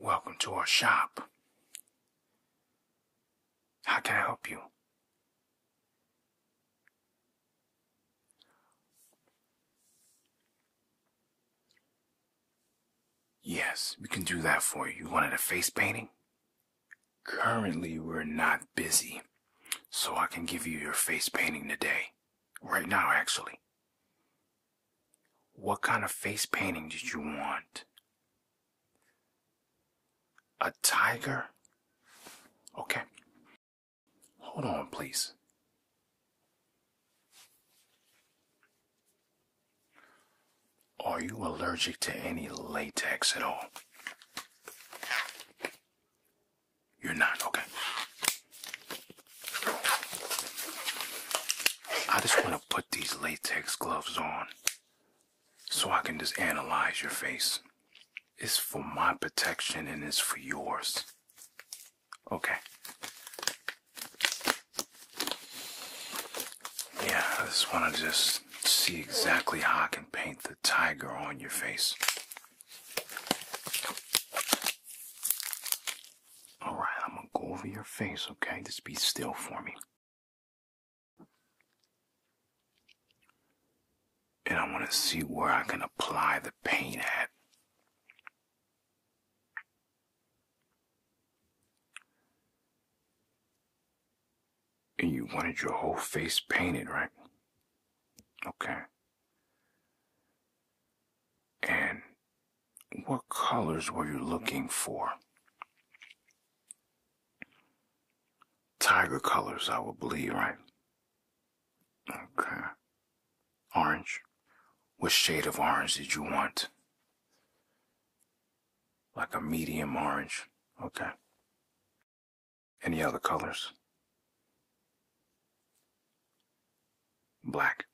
Welcome to our shop. How can I help you? Yes, we can do that for you. You wanted a face painting? Currently, we're not busy, so I can give you your face painting today. Right now, actually. What kind of face painting did you want? A tiger? Okay. Hold on, please. Are you allergic to any latex at all? You're not, okay. I just want to put these latex gloves on so I can just analyze your face. It's for my protection and it's for yours. Okay. Yeah, I just want to just see exactly how I can paint the tiger on your face. Alright, I'm going to go over your face, okay? Just be still for me. And I want to see where I can apply the paint at. And you wanted your whole face painted, right? Okay. And what colors were you looking for? Tiger colors, I will believe, right? Okay. Orange. What shade of orange did you want? Like a medium orange. Okay. Any other colors? Black.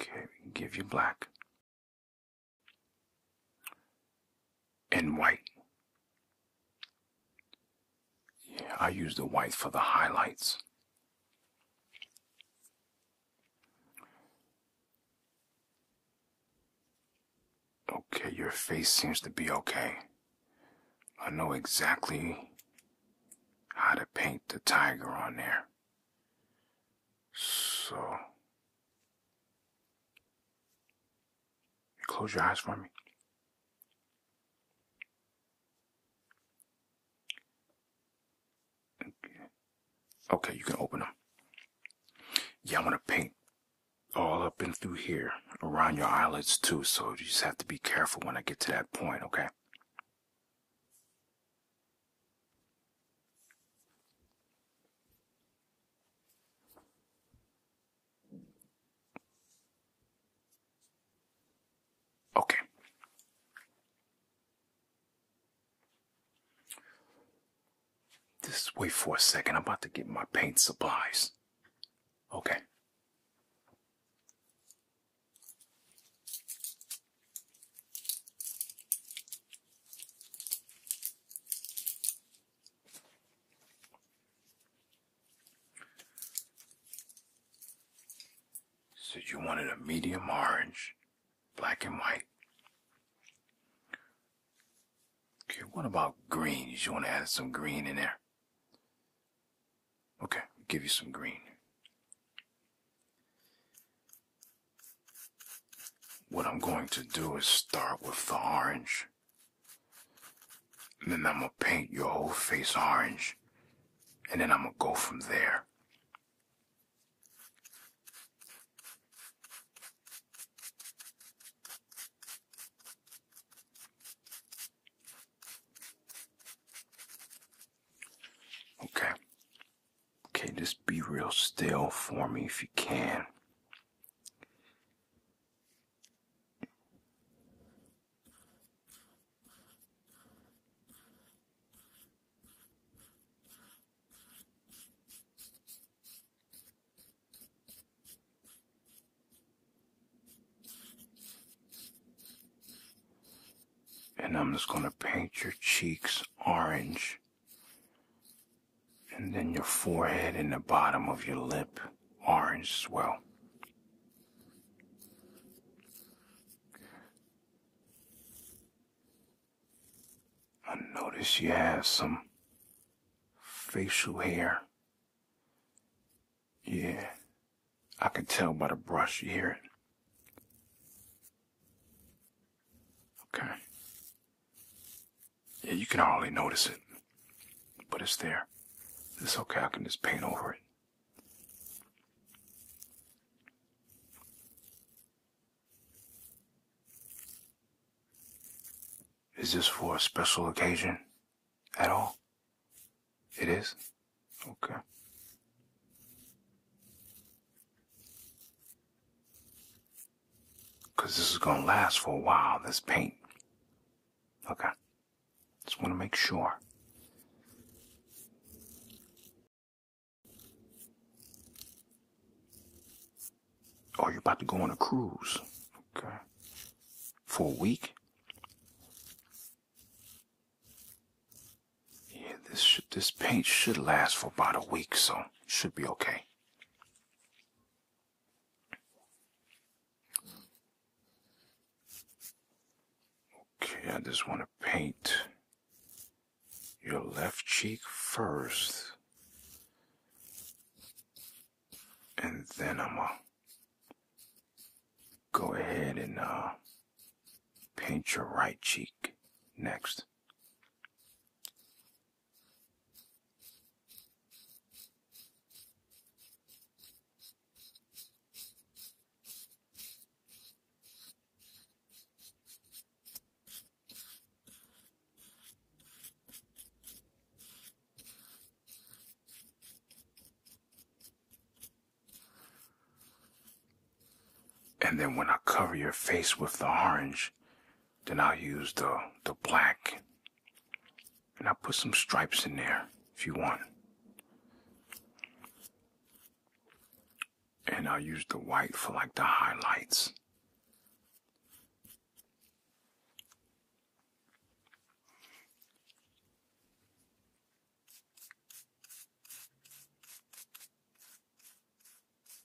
Okay, we give you black and white. Yeah, I use the white for the highlights. Okay, your face seems to be okay. I know exactly how to paint the tiger on there. So, you close your eyes for me. Okay, you can open them. Yeah, I want to paint all up and through here around your eyelids too, so you just have to be careful when I get to that point, okay? Okay. Just wait for a second. I'm about to get my paint supplies. Okay. Said you wanted a medium orange, black and white. Okay, what about greens? You want to add some green in there? Okay, I'll give you some green. What I'm going to do is start with the orange. And then I'm going to paint your whole face orange. And then I'm going to go from there. Okay, Okay, just be real still for me if you can. And I'm just going to paint your cheeks orange. And then your forehead and the bottom of your lip, orange swell. I notice you have some facial hair. Yeah, I can tell by the brush you hear it. Okay. Yeah, you can hardly notice it, but it's there. It's okay, I can just paint over it. Is this for a special occasion at all? It is? Okay. Because this is going to last for a while, this paint. Okay. Just want to make sure. Oh, you're about to go on a cruise. Okay. For a week? Yeah, this this paint should last for about a week, so should be okay. Okay, I just want to paint your left cheek first. And then I'm going to go ahead and uh, paint your right cheek next. And then when I cover your face with the orange, then I'll use the, the black. And I'll put some stripes in there if you want. And I'll use the white for like the highlights.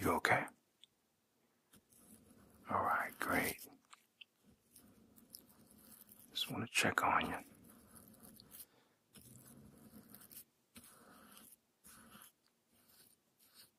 You okay? All right, great. Just want to check on you.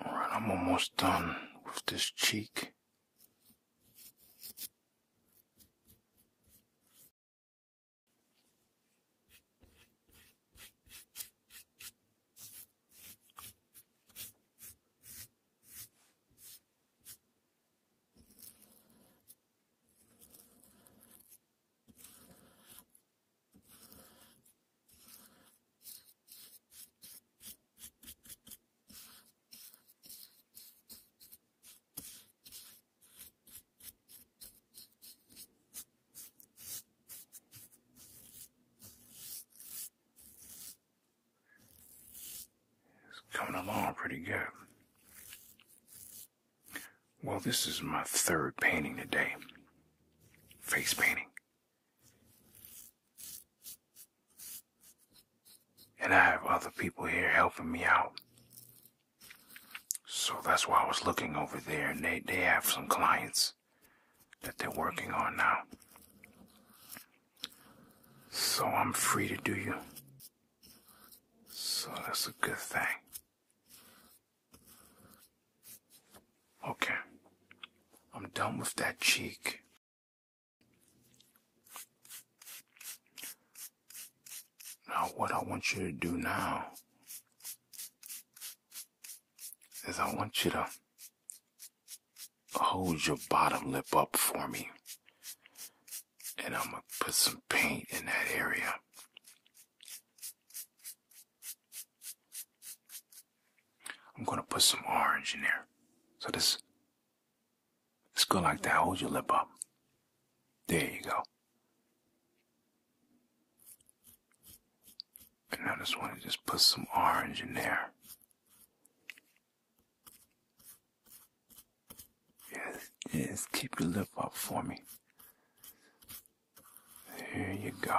Alright, I'm almost done with this cheek. It's coming along pretty good. Well, this is my third painting today. Face painting. And I have other people here helping me out. So that's why I was looking over there, they, they have some clients that they're working on now. So I'm free to do you. So that's a good thing. Okay. I'm done with that cheek. Now, what I want you to do now is I want you to hold your bottom lip up for me. And I'm going to put some paint in that area. I'm gonna put some orange in there. So this, it's good like that. Hold your lip up. There you go. And I just want to just put some orange in there. yes, keep your lip up for me. There you go.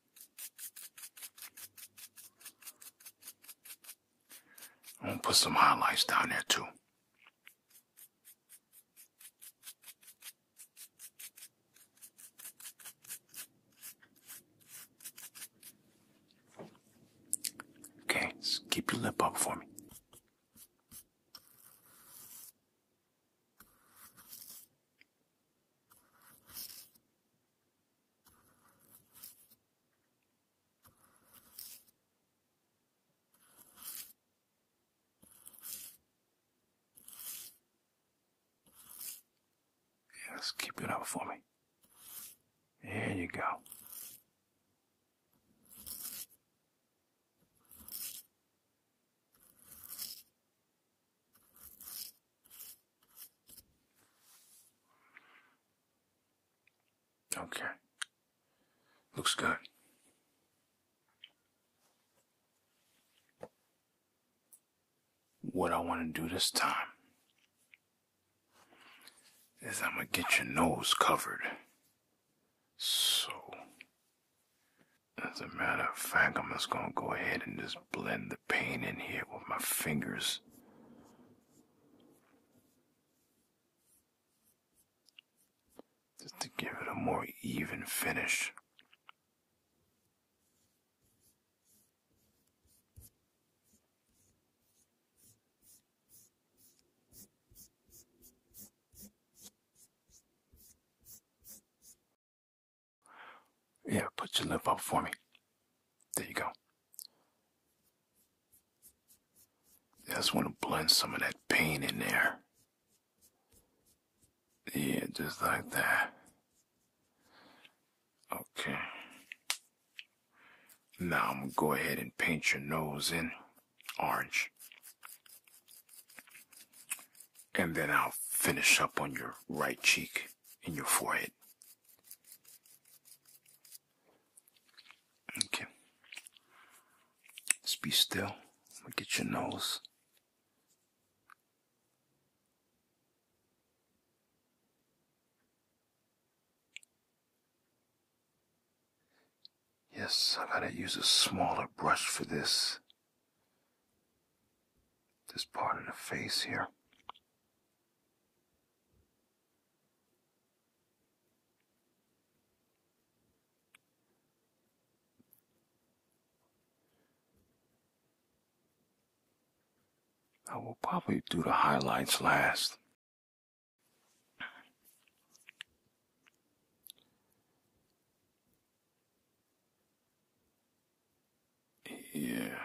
I'm gonna put some highlights down there too. Okay, keep your lip up for me. Yes, keep it up for me. There you go. Okay. Looks good. What I want to do this time is I'm going to get your nose covered. So, as a matter of fact, I'm just going to go ahead and just blend the paint in here with my fingers just to give it a more even finish. Yeah, put your lip up for me. There you go. I just want to blend some of that paint in there. Yeah, just like that. Okay. Now I'm gonna go ahead and paint your nose in orange. And then I'll finish up on your right cheek and your forehead. Okay. Just be still. We'll get your nose. Yes, I gotta use a smaller brush for this. This part of the face here. I will probably do the highlights last here.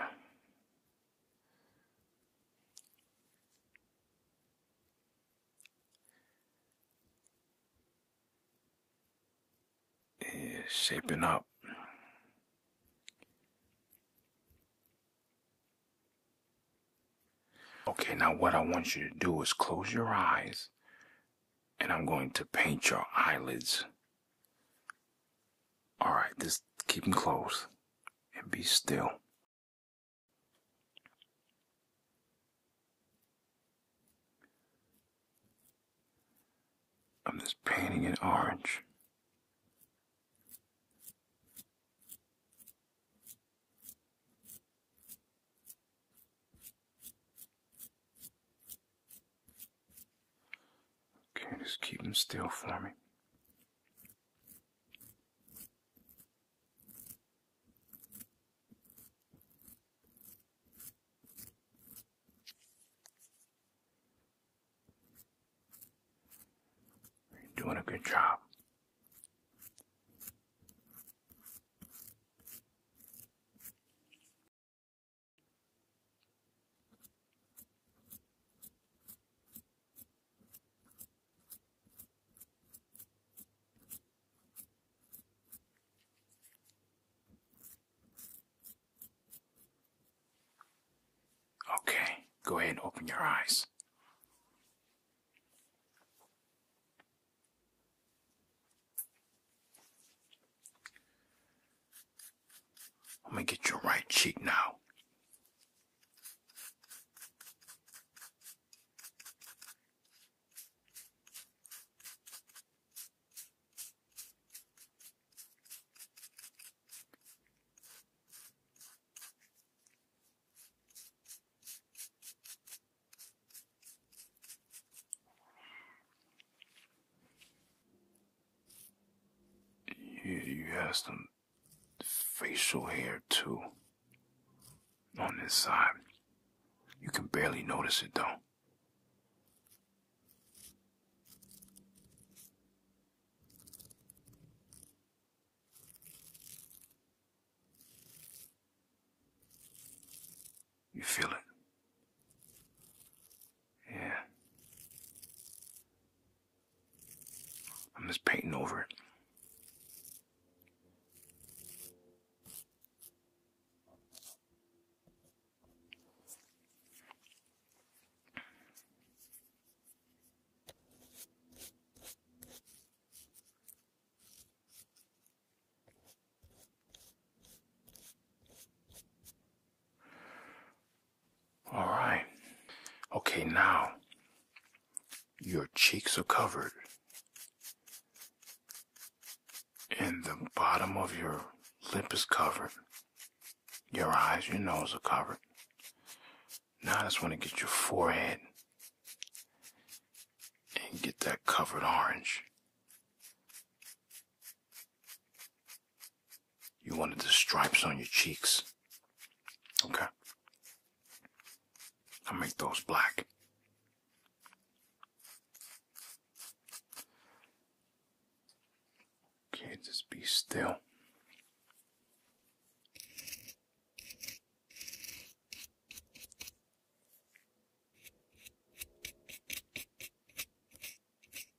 Is shaping up. Okay, now what I want you to do is close your eyes, and I'm going to paint your eyelids all right, just keep them close and be still. I'm just painting it orange. Okay, just keep them still for me. You're doing a good job. Okay, go ahead and open your eyes. I'm gonna get your right cheek now. You, you asked him facial hair too on this side. You can barely notice it though. You feel it? Yeah. I'm just painting over it. All right. Okay, now your cheeks are covered, and the bottom of your lip is covered. Your eyes, your nose are covered. Now I just want to get your forehead and get that covered orange. You wanted the stripes on your cheeks. Okay. I'll make those black. Okay, just be still.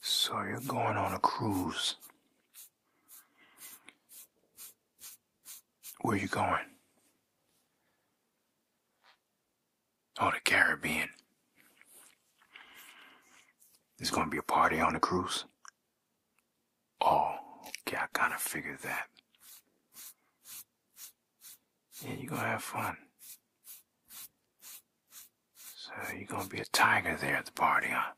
So you're going on a cruise. Where you going? Oh, the Caribbean. There's gonna be a party on the cruise. Oh, yeah, I kinda figured that and you're gonna have fun. So you're gonna be a tiger there at the party, huh?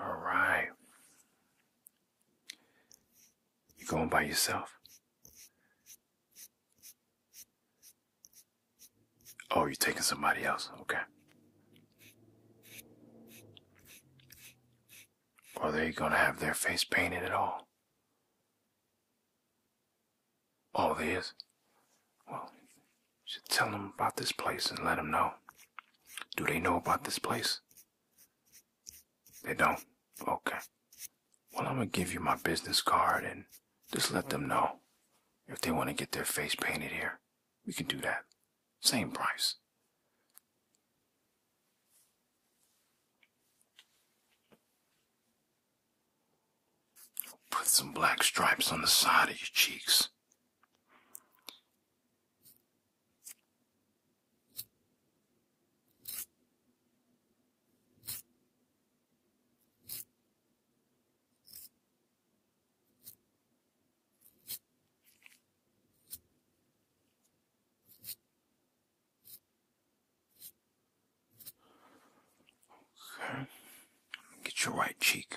All right. You going by yourself? Oh, you're taking somebody else. Okay or they're going to have their face painted at all. All it is. Well, you should tell them about this place and let them know. Do they know about this place? They don't? Okay. Well, I'm going to give you my business card and just let them know. If they want to get their face painted here, we can do that. Same price. Put some black stripes on the side of your cheeks. Okay. Get your right cheek.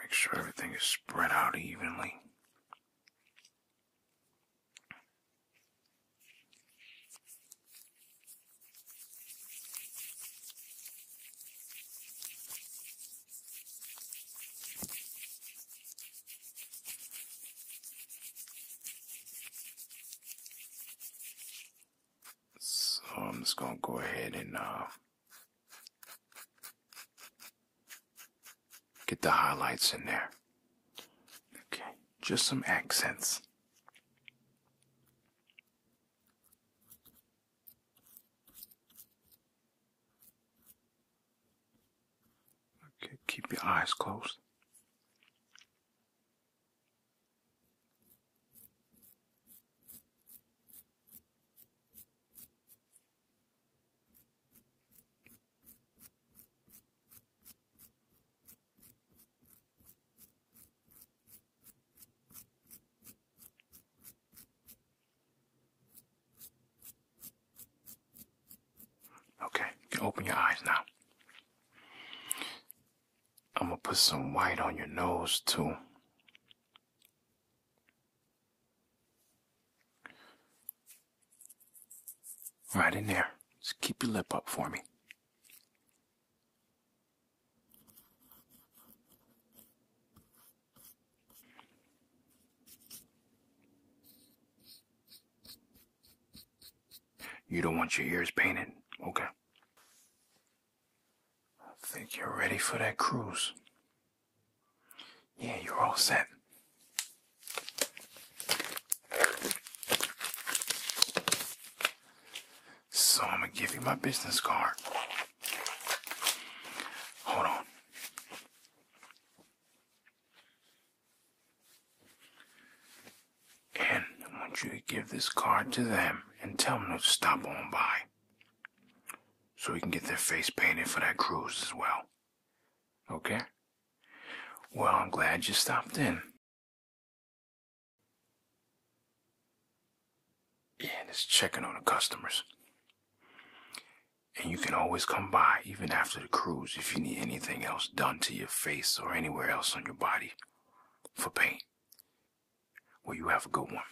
Make sure everything is spread out evenly. So I'm just gonna go ahead and uh Get the highlights in there. Okay, just some accents. Okay, keep your eyes closed. Okay, you can open your eyes now. I'm gonna put some white on your nose too. Right in there. Just keep your lip up for me. You don't want your ears painted. Okay. I think you're ready for that cruise. Yeah, you're all set. So I'm gonna give you my business card. Hold on. And I want you to give this card to them and tell them to stop on by. So we can get their face painted for that cruise as well. Okay? Well, I'm glad you stopped in. Yeah, just checking on the customers. And you can always come by, even after the cruise, if you need anything else done to your face or anywhere else on your body for paint. Well, you have a good one.